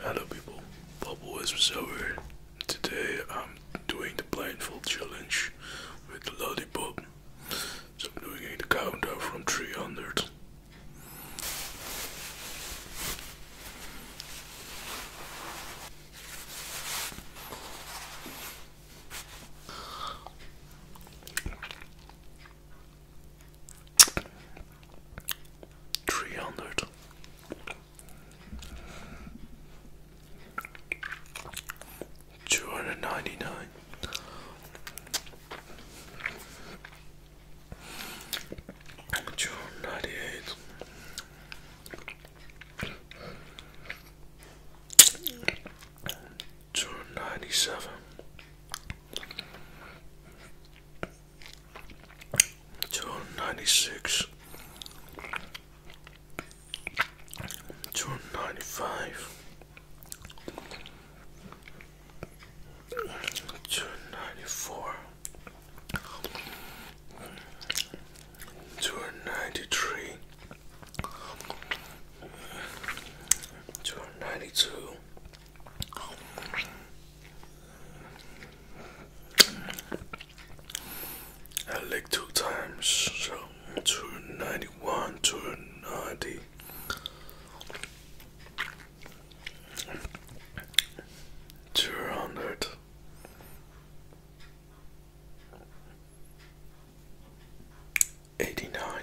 Hello people, Bubble is Zoe. Today I'm um, doing the blindfold challenge with lollipop. So I'm doing the countdown from 300 three hundred. Two hundred ninety nine, two hundred ninety eight, two hundred ninety seven, two ninety six, two ninety five, two ninety four, two ninety three. 292 I licked two times, so 291, 290. Two hundred eighty nine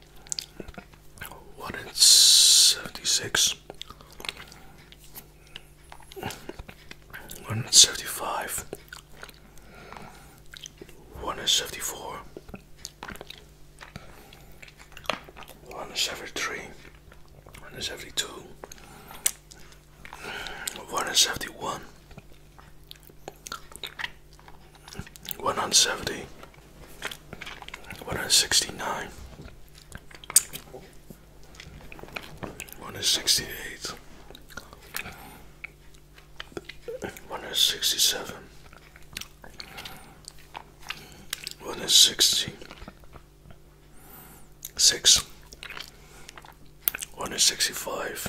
One in seventy-six. One in seventy-five. One in seventy-four. One in seventy-three. One in seventy-two. One in seventy-one. One hundred seventy. One hundred sixty-nine. One hundred sixty-eight. One hundred sixty-seven. on One hundred sixty-five.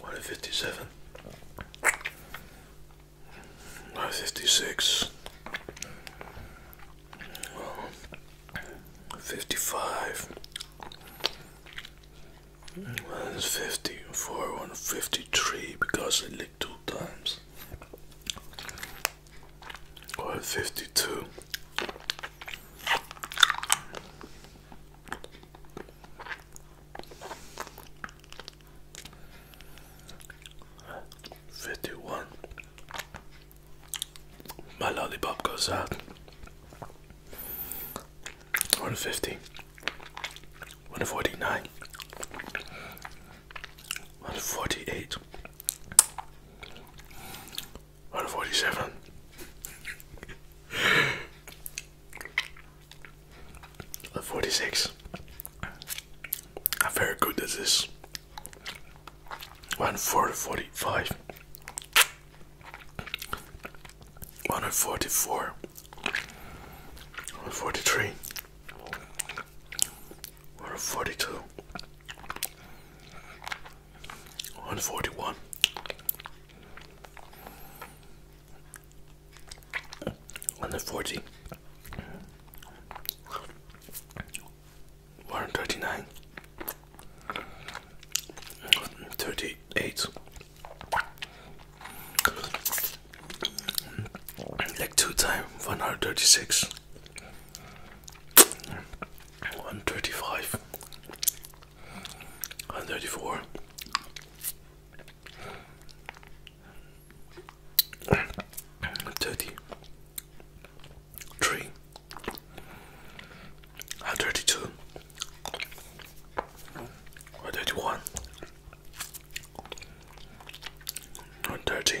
One fifty seven. One fifty six. Well, fifty five. One fifty four. One fifty three because I licked two times. One fifty two. 51 my lollipop goes out One forty nine. nine one forty eight 147. One How very good this is. One forty-five. One forty-four. One forty-three. One forty-two. 141. One forty. One thirty nine. Thirty eight. Like two time one hundred thirty six. One thirty five, one thirty four, thirty three, one thirty two, one thirty one, one thirty.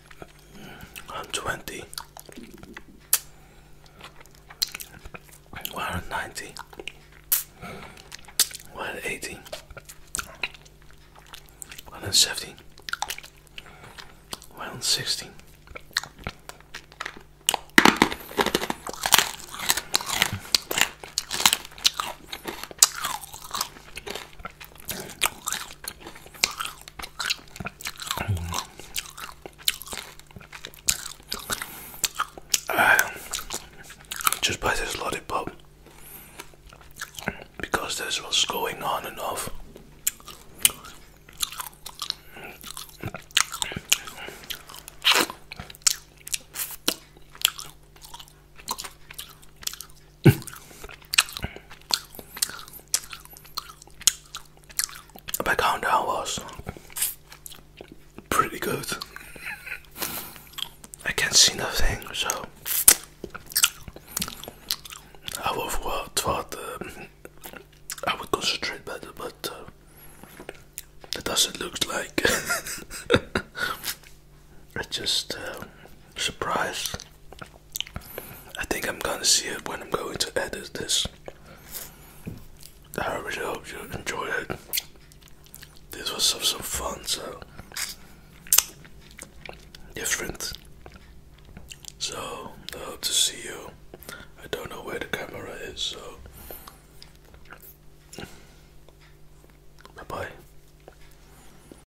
120 190 180 170 160 uh, just by this lollipop because this was going on and off. My countdown was pretty good. I can't see nothing, so I would thought, thought I would concentrate better, but uh, that doesn't look like. I just uh, surprised. I think I'm gonna see it when I'm going to edit this. I really hope you enjoy it. This was some, some fun, so different. So I hope to see you. I don't know where the camera is, so bye bye.